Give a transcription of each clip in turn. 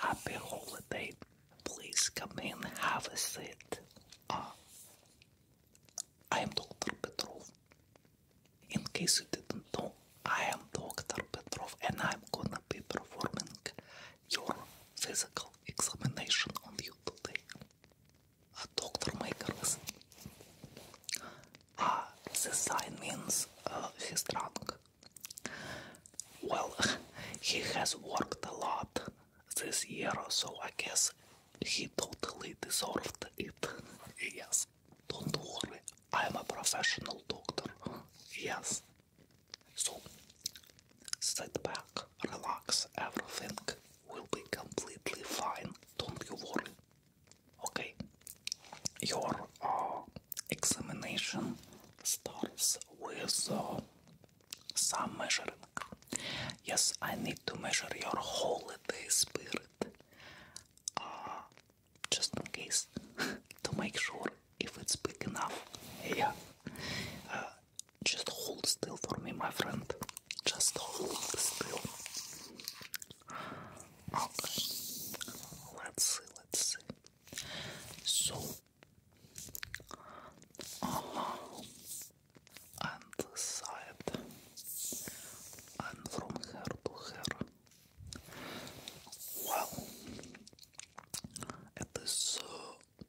Happy holiday. Please come in, have a seat. Uh, I am Dr. Petrov. In case you didn't know, I am Dr. Petrov and I'm gonna be performing your physical examination on you today. Uh, Dr. Makers. Uh, ah, the sign means uh, he's drunk. Well, he has worked a lot this year, so I guess he totally deserved it. yes, don't worry, I am a professional doctor. Yes. So, sit back, relax, everything will be completely fine. Don't you worry. Okay, your uh, examination starts with uh, some measuring. Yes, I need to measure your holiday spirit uh, just in case to make sure if it's big enough. Yeah. Uh, just hold still for me, my friend. Just hold still. Okay. Let's see, let's see. So, uh, and side, and from hair to hair. Well, it is uh,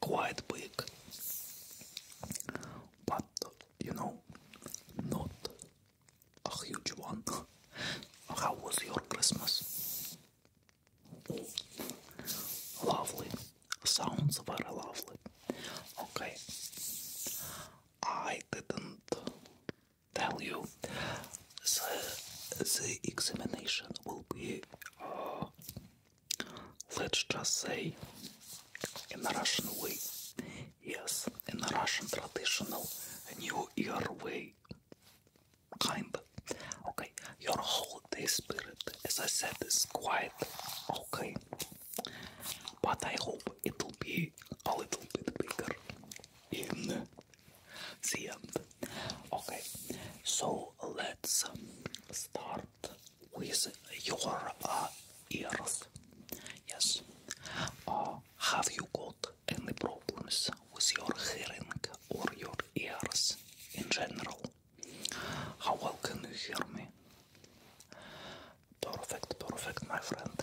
quite big, but you know, not a huge one. How was your Christmas? Lovely. Sounds very lovely. Okay. I didn't tell you the, the examination will be, uh, let's just say, in the Russian way. Yes, in the Russian traditional New Year way kind. Okay, your whole day spirit, as I said, is quite okay, but I hope it'll be a little bit bigger in the end. Okay, so let's um, start with your uh, ears. Yes, uh, have you got any problems with your hearing or your ears in general. How well can you hear me? Perfect, perfect, my friend.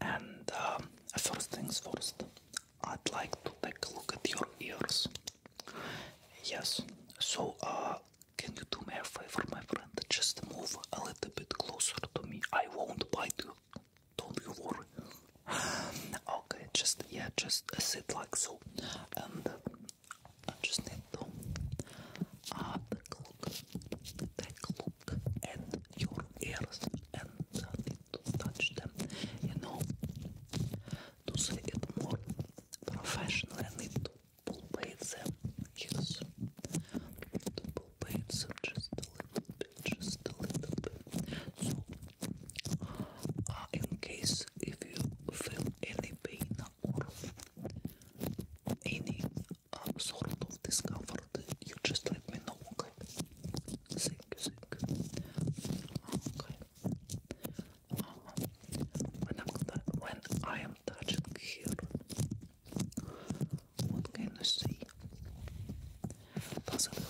And um, first things first, I'd like to take a look at your ears. Yes, so uh, can you do me a favor, my friend? Just move a little bit closer to me. I won't bite you. Don't be worried. Okay, just yeah, just sit like so, and I uh, just need to uh, take a look, take a your ears, and uh, touch them. You know, to say more professional, I need to palpate them. Uh, yes, to palpate them just a little just a little bit. So, uh, in case if you feel any pain or any uh, sort of discomfort, you just let me know, okay? Thank you, thank you. Okay. Uh-huh. I'm, when I am touching here, what can you see? Does it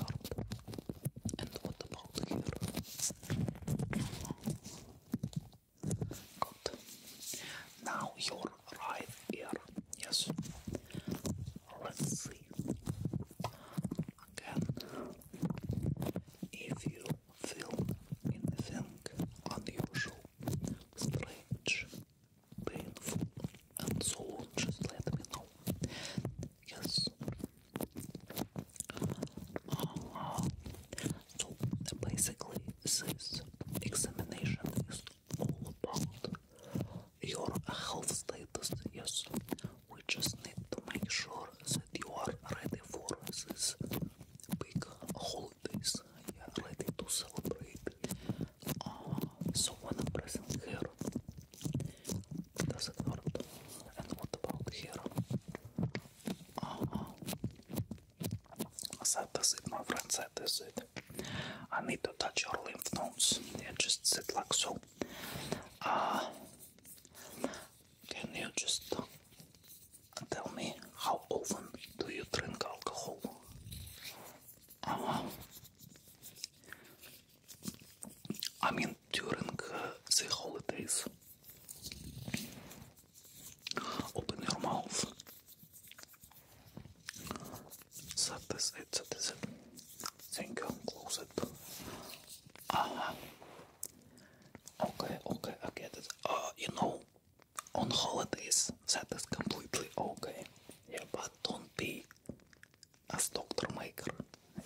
And what about here? Good. Now your right ear. Yes. Let's see. Again, if you feel anything unusual, strange, and so just let me know. Yes. so basically, this examination is all about your health status. Yes, we just need to make sure that you are ready for this big holidays. Yeah, ready to celebrate uh, ah, someone pressing here. Does it hurt? And what about here? Uh, that is it, my friend. That is it. I need to touch your lymph nodes. Yeah, just sit like so. Uh, can you just tell me how often do you drink alcohol? Uh, I mean, during uh, the holidays, open your mouth. Set this, it, set this, it. Thank close it. Okay, okay, I get it. Uh, you know, on holidays, that is completely okay. Yeah, but don't be as doctor maker.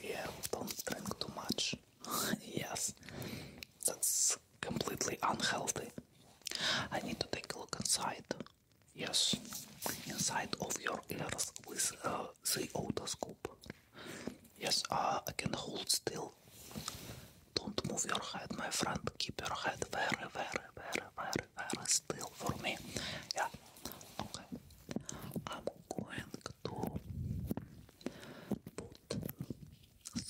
Yeah, don't drink too much. yes, that's completely unhealthy. I need to take a look inside. Yes, inside of your ears with the otoscope. Yes, uh, I can hold still. Don't move your head, my friend. Keep your head very, very, very, very, very, ah, still for me. Yeah. Okay. I'm going to put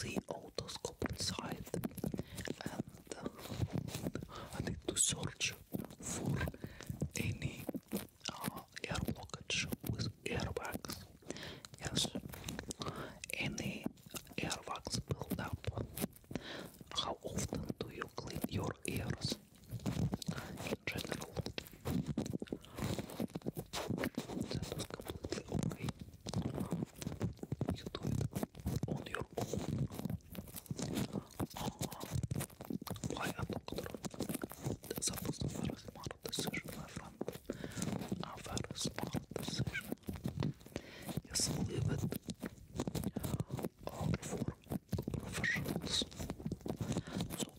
the otoscope inside and uh, I need to search for any uh, air blockage with airbags. Yes, any airbags build up how often do you clean your ears in general? You do it on your own. Why ah, doctor? That was a very smart decision, my friend. A very smart decision. Yes, leave for professionals.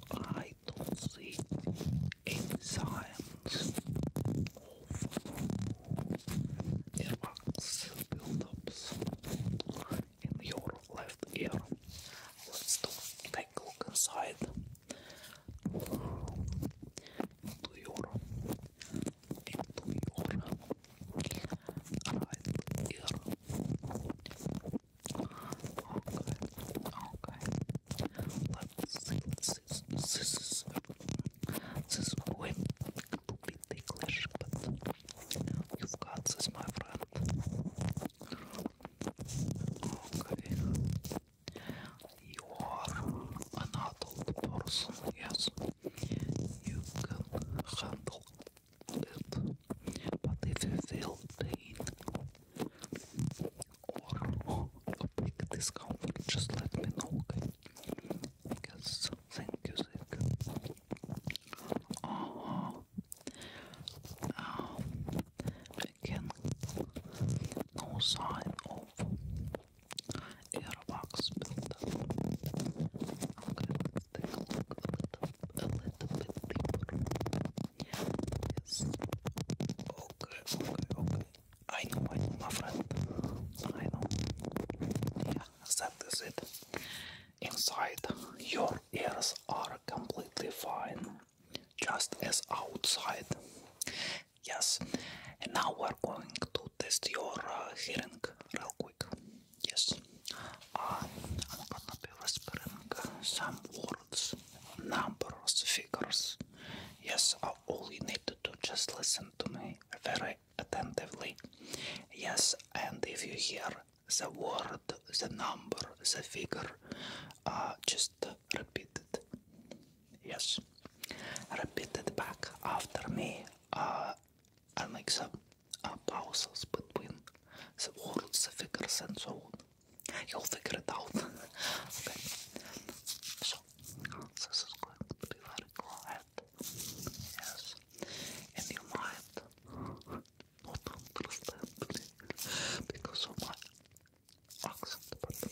So I don't see signs of earwax buildups in your left ear. Let's take a look inside your into your right ear. Okay, okay. Let's see, let's see. This is, this is going to be ticklish, but you've got this, my friend. Okay. You are an adult person, yes you can handle it. But if you feel pain or a big discomfort, just let me know, okay? thank you, thank you. Uh, uh-huh. um, again, no sign of Airbox build I'm gonna take a little, a little bit deeper. Yes. Okay, okay, okay. I know, I know, my I know. Yeah, that is it. Inside, your ears are completely fine, just as outside. Yes, and now we're going to test your uh, hearing real quick. Yes, ah, I'm gonna be whispering some words, numbers, figures. Yes, all you need to do just listen to me very attentively. Yes, and if you hear the word, the number, the figure, uh, just repeat it. Yes, repeat it back after me. Uh, and make some uh, pauses between the words, the figures, and so on. You'll figure it out. okay. So this is going to be very quiet. Yes. And you might not understand me because of my accent, but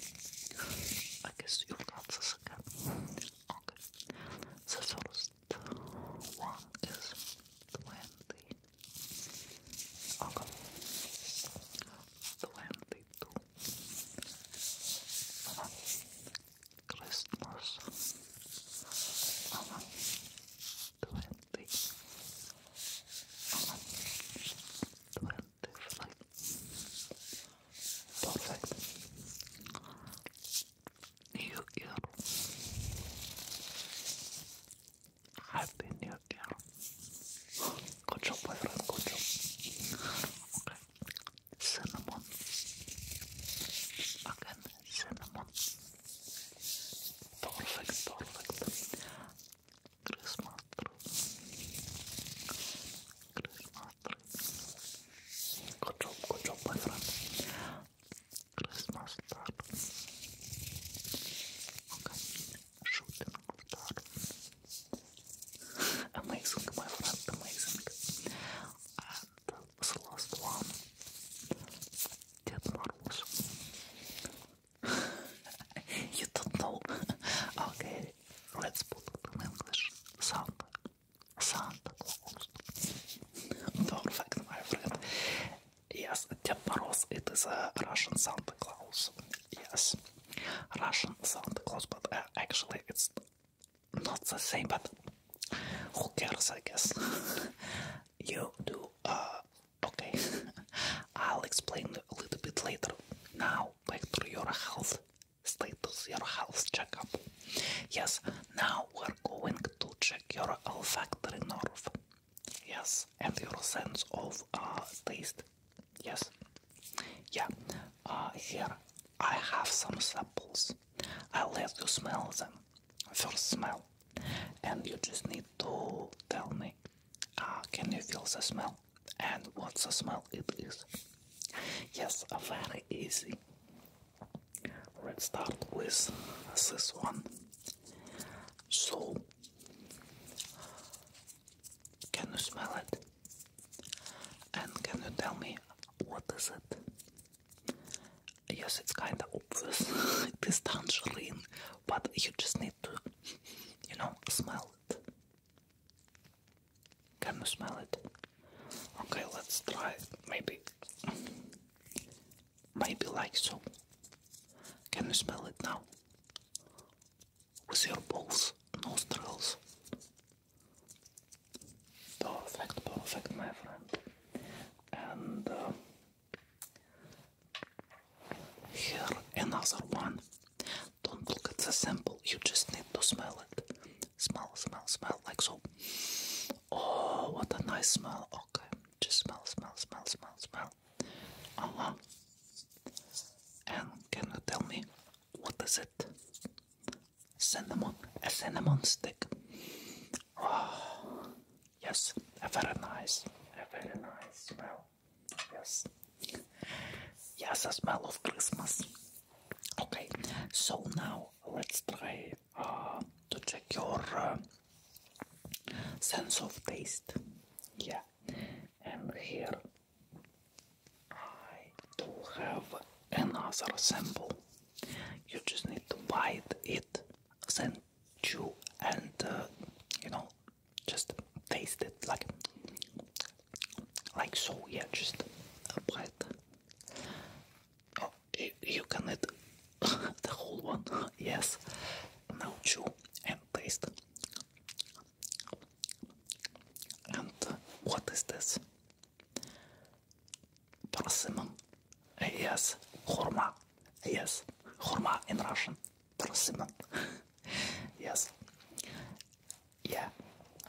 I guess you've got Okay. The first one is twenty. Okay. Twenty-two. Christmas. Twenty. Uh -huh. New era. Happy new era. Good job, my friend. Good job. Okay. Cinnamon. Again, cinnamon. Perfect, perfect. Christmas tree. Christmas Good job, good job, my friend. Christmas star. Okay, shooting star. Amazing, my friend, amazing. And this last one. Dead Marbles. you don't know. okay, let's put the in English sound. Santa Claus. Don't fact, my friend. Yes, Teparos, it is a Russian Santa Claus. Yes, Russian Santa Claus, but uh, actually it's not the same, but who cares, I guess. you do, uh, okay. I'll explain a little bit later. Now, back to your health stay your health checkup. Yes, now we're going to check your olfactory nerve. Yes, and your sense of uh, taste. Yes, yeah. Uh, here I have some samples. I'll let you smell them. First smell, and you just need to tell me. Uh, can you feel the smell? And what's the smell it is? Yes, very easy. Let's start with this one. So, can you smell it? And can you tell me what is it? Yes, it's kind of obvious. it is tangerine, but you just need to, you know, smell it. Can you smell it? Okay, let's try. Maybe. Maybe like so. Can you smell it now? With your balls, nostrils. Perfect, perfect, my friend. And uh, here another one. Don't look at the sample, you just need to smell it. Smell, smell, smell, like so. Oh, what a nice smell. Okay, just smell, smell, smell, smell, smell. Uh And can you tell me what is it? Cinnamon, a cinnamon stick. Oh, yes, a very nice, a very nice smell. Yes, yes, a smell of Christmas. Okay, so now let's try uh, to check your uh, sense of taste. Yeah, and here I do have another sample. You just need to bite it, then chew, and uh, you know, just taste it like like so, yeah, just apply it. Oh, you can eat the whole one, yes. Now chew and taste. And what is this? Persimmon, yes, horma, yes, horma in Russian, persimmon, yes yeah.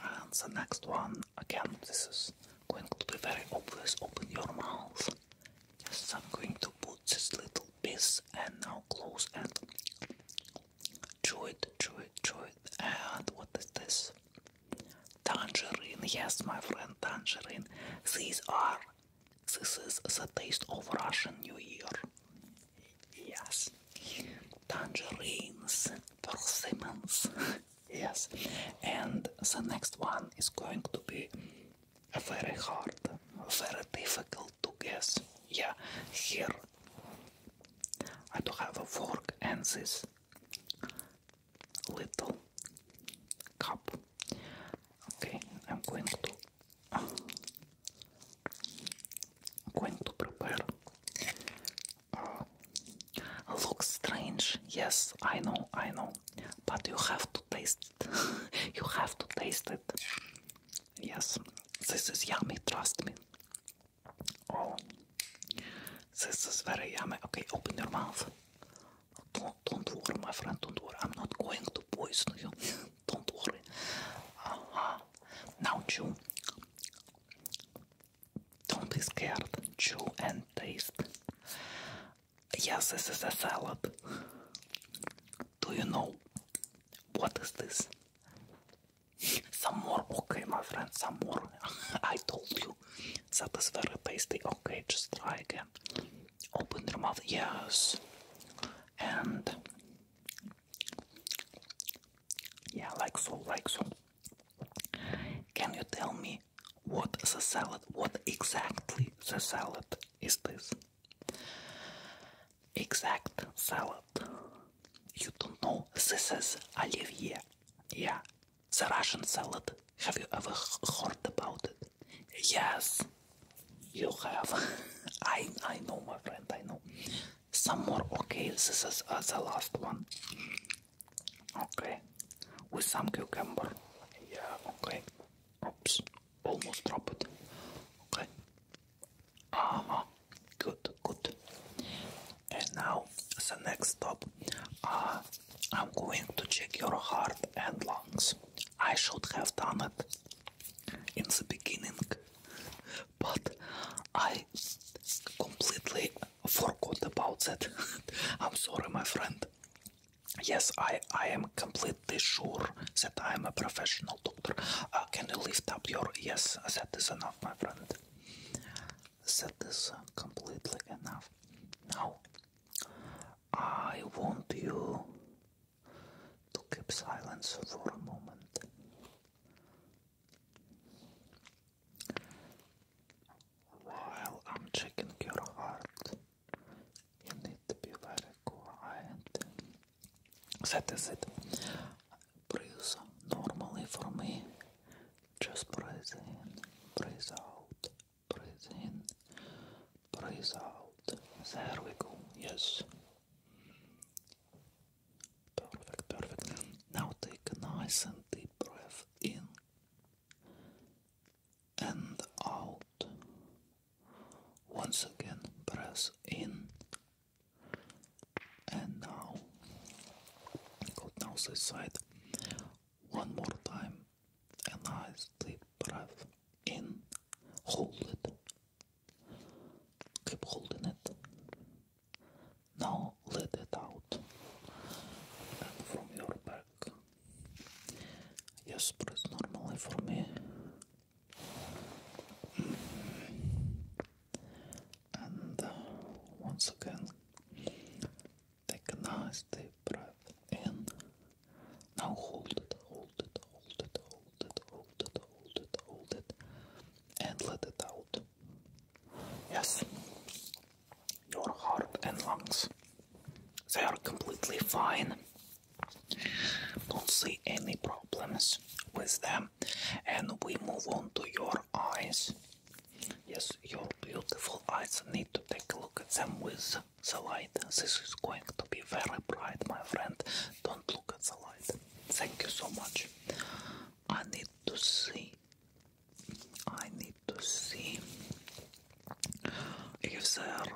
And the next one, again, this is going to be very obvious. Open your mouth. Yes, I'm going to put this little piece and now close and chew it, chew it, chew it. And what is this? Tangerine, yes, my friend, tangerine. These are. This is the taste of Russian New Year. Yes. Tangerines, persimmons. yes. And the next one is going to be very hard, very difficult to guess. Yeah, here I do have a fork and this little cup. Okay, I'm going to going to prepare Looks strange, yes, I know, I know, but you have to taste it. you have to taste it. Yes, this is yummy, trust me. Oh, this is very yummy. Okay, open your mouth. Don't, worry, my friend, don't worry. I'm not going to poison you. don't worry. Uh Now chew. Don't be scared. Chew and taste. Yes, this is a salad. Do you know what is this? Some more, okay, my friend, some more. I told you that is very tasty. Okay, just try again. Open your mouth, yes, and yeah, like so, like so. Can you tell me what the salad, what exactly the salad is this? Exact salad. You don't know, this is Olivier. Yeah, the Russian salad. Have you ever heard about it? Yes, you have. I, I know, my friend, I know some more okay this is the last one okay with some cucumber yeah okay oops almost dropped it okay uh good good and now the next stop uh, i'm going to check your heart and lungs i should have done it in the beginning but I completely forgot about that. I'm sorry, my friend. Yes, I, I am completely sure that I am a professional doctor. Uh, can you lift up your. Yes, that is enough, my friend. That is completely enough. Now, I want you to keep silence for a moment. While I'm checking your heart, you need to be very quiet. That is it. Breathe normally for me. Just breathe in, breathe out, breathe in, breathe out. There we go. Yes. Perfect, perfect. Now take a nice and deep breath in and out. Once again, press in and now. Good, to the side. One more time. A nice deep breath in. Hold it Keep holding it. Now let it out. And from your back. Yes, press normally for me. And uh, once again, take a nice deep breath in. Now hold hold it, hold it, hold it, hold it, hold it, hold it, and let it out. Yes, your heart and lungs, they are completely fine. Don't see any problems with them. And we move on to your eyes. Yes, your beautiful eyes need to take a look at them with the light. This is going to be very bright, my friend. Don't look at the light. Thank you so much. I need to see. I need to see if there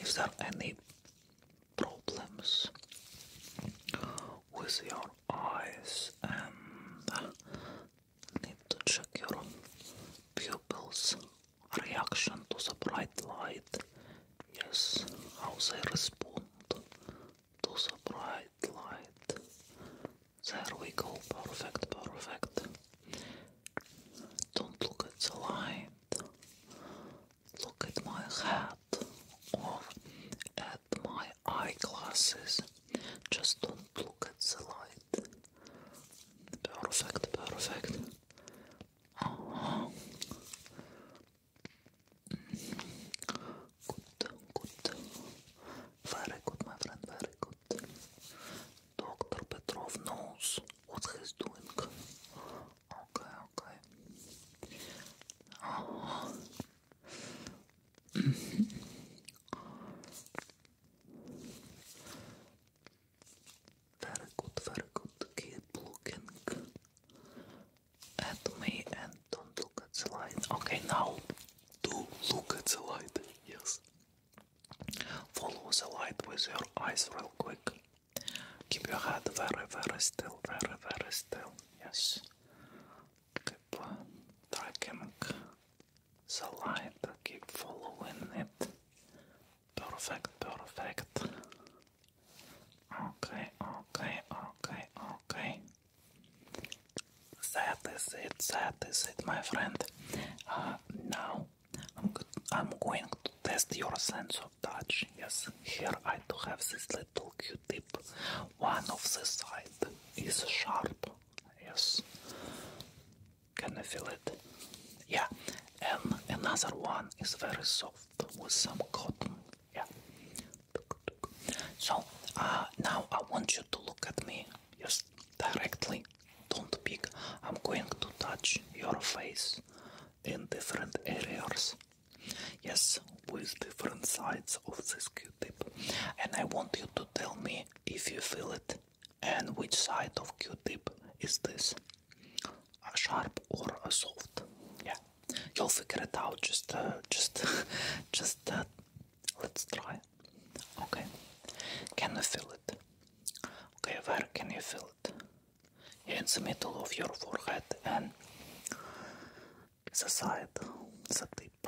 if there are any problems with your eyes and uh, need to check your pupils reaction to the bright light. Yes, how they respond to the bright light. There we go, perfect, perfect. Don't look at the light. Look at my hat or at my eyeglasses. Just don't look at the light. Perfect, perfect good, very good, my friend, very good. Doctor Petrov knows what he's doing. Okay, okay. Very good, very good. Keep looking at me and don't look at the light. Okay, now do look at the light. Yes. Follow the light with your eyes real quick. Keep your head very, very still, very, very still. Yes. Keep tracking the light, keep following it. Perfect, perfect. Okay, okay, okay, okay. That is it, my friend. Uh, now I'm, I'm going to test your sense of touch. Yes, here I do have this little Q-tip. One of the side is sharp. Yes, can I feel it? Yeah, and another one is very soft with some cotton. Yeah. So uh, now I want you to look at me just directly. Don't peek. I'm going to touch your face in different areas. Yes, with different sides of this Q-tip. And I want you to tell me if you feel it and which side of Q-tip is this sharp or a soft. Yeah, you'll figure it out. Just, uh, just, just uh, let's try. Okay, can you feel it? Okay, where can you feel it? in the middle of your forehead and the side, the tip.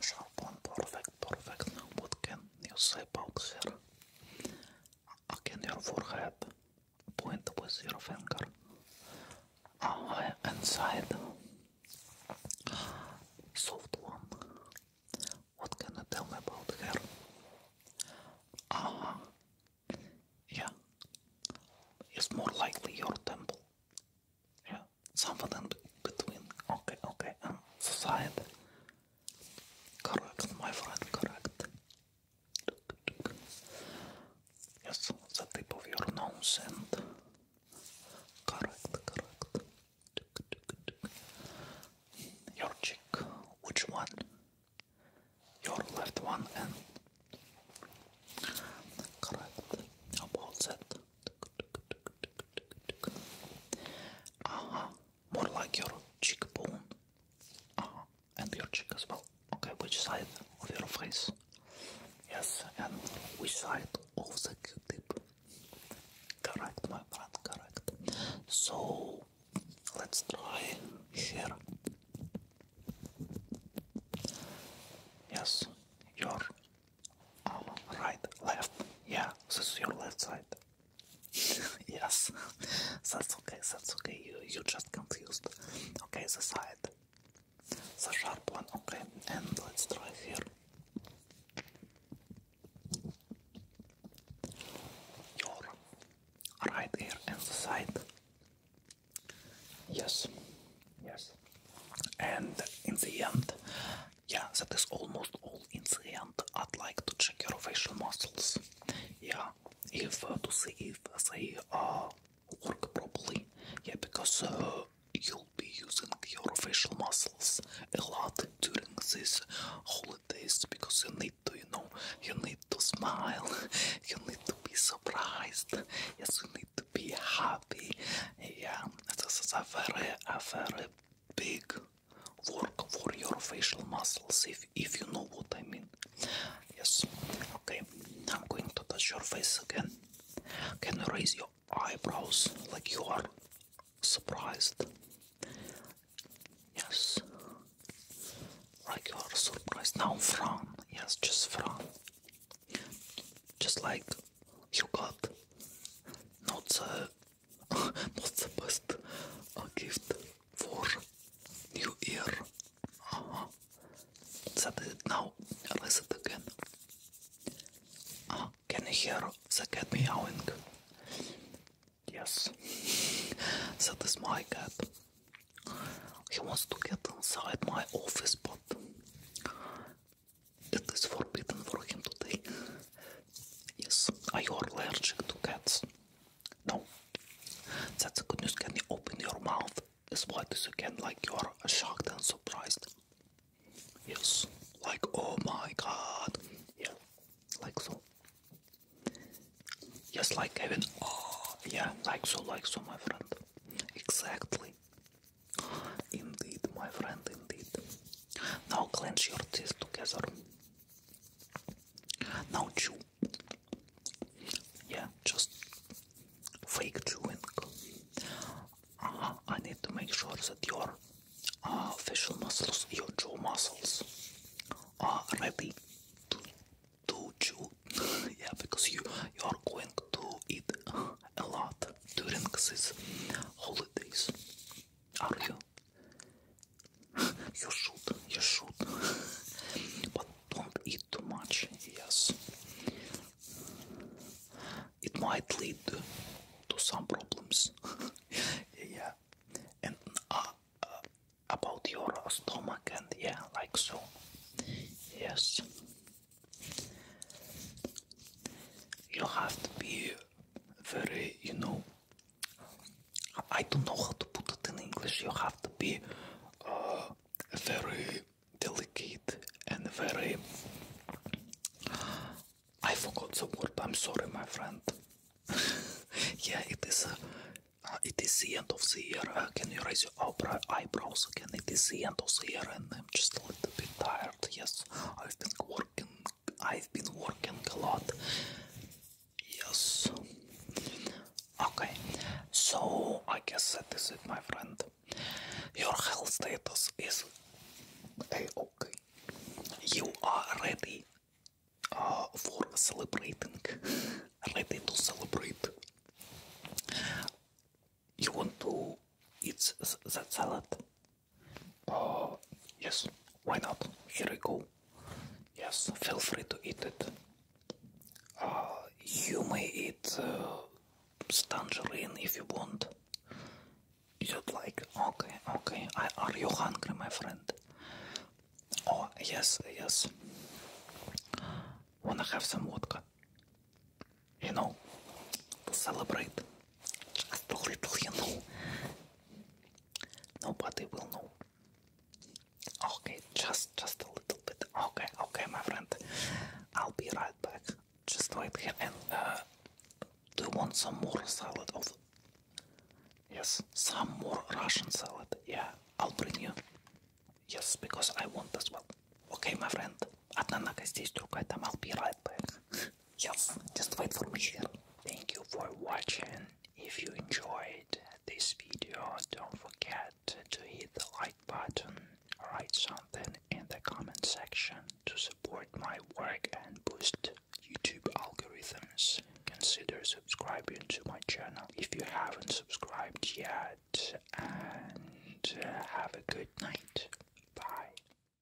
Sharp one, perfect, perfect. Now, what can you say about her? again your forehead, point with your finger uh, inside soft one. What can I tell me about her? Ah, yeah, it's more likely your temple. Yeah, something in between. Okay, okay, and um, Correct, my friend, correct. Yes, the tip of your nose and correct, correct. Your cheek, which one? Your left one and correct. About that. Uh more like your cheekbone uh and your cheek as well. Okay, which side of your face? Yes, and which side of the Q-tip? Correct, my friend, correct. So let's try here. Yes, your uh, right, left. Yeah, this is your left side. yes, that's okay, that's okay. You you just confused. Okay, the side, the sharp one. Okay, and let's try here. Your right ear and the side. Yes, yes. And in the end, yeah, that is almost all in the I'd like to check your facial muscles. Yeah, if uh, to see if they uh, work properly. Yeah, because uh, you'll be using your facial muscles a lot during these holidays because you need to, you know, you need to smile, you need to be surprised. Yes, you need to be happy. Yeah, this is a very, a very big work for your facial muscles if if you know what I mean. Yes. Okay. I'm going to touch your face again. Can you raise your eyebrows like you are surprised? Yes. Like you are surprised. Now frown. Yes, just frown. Just like you got not so. Uh, Not the best gift for New Year. Uh it now. Listen again. Ah, can you hear the cat meowing? Yes, that is my cat. He wants to get inside my office, but it is forbidden for him today. Yes. Are you allergic to cats? No. That's a good news. Can you open your mouth as wide as you can, like you're shocked and surprised? Yes. Like, oh my god. Yeah. Like so. Yes, like even. Oh, yeah. Like so, like so, my friend. Exactly. Indeed, my friend, indeed. Now clench your teeth together. Now chew. Yeah, just fake chewing. Uh, I need to make sure that your uh, facial muscles, your jaw muscles, are ready to, chew. yeah, because you you are going to eat a lot during these holidays. Are you should, you should. But don't eat too much, yes. It might lead to some problems. yeah. And uh, about your stomach, and yeah, like so. Yes. You have to be very, you know, I don't know how to put it in English. You have to be uh, very delicate and very. I forgot the word. I'm sorry, my friend. yeah, it is. Uh, it is the end of the year. Uh, can you raise your eyebrow eyebrows again? It is the end of the year, and I'm just a little bit tired. Yes, I've been working I've been working a lot. Yes. Okay. So I guess that is it, my friend. Your health status is a okay. You are ready uh, for celebrating. ready to celebrate. You want to eat that salad? Oh yes, why not? Here we go. Yes, feel free to eat it. Uh, you may eat uh, if you want. You'd like? Okay, okay. are you hungry, my friend? Oh, yes, yes. Wanna have some vodka? You know, to celebrate. Just a little, you know. Nobody will know. Okay, just just a little bit. Okay, okay, my friend. I'll be right back. Just wait here and uh, do you want some more salad? Of yes, some more Russian salad. Yeah, I'll bring you. Yes, because I want as well. Okay, my friend. Одна нога здесь, другая там. I'll be right back yes, just wait for me Thank you for watching. If you enjoyed this video, don't forget to hit the like button, write something in the comment section to support my work and boost YouTube algorithms. Consider subscribing to my channel if you haven't subscribed yet, and uh, have a good night. Bye.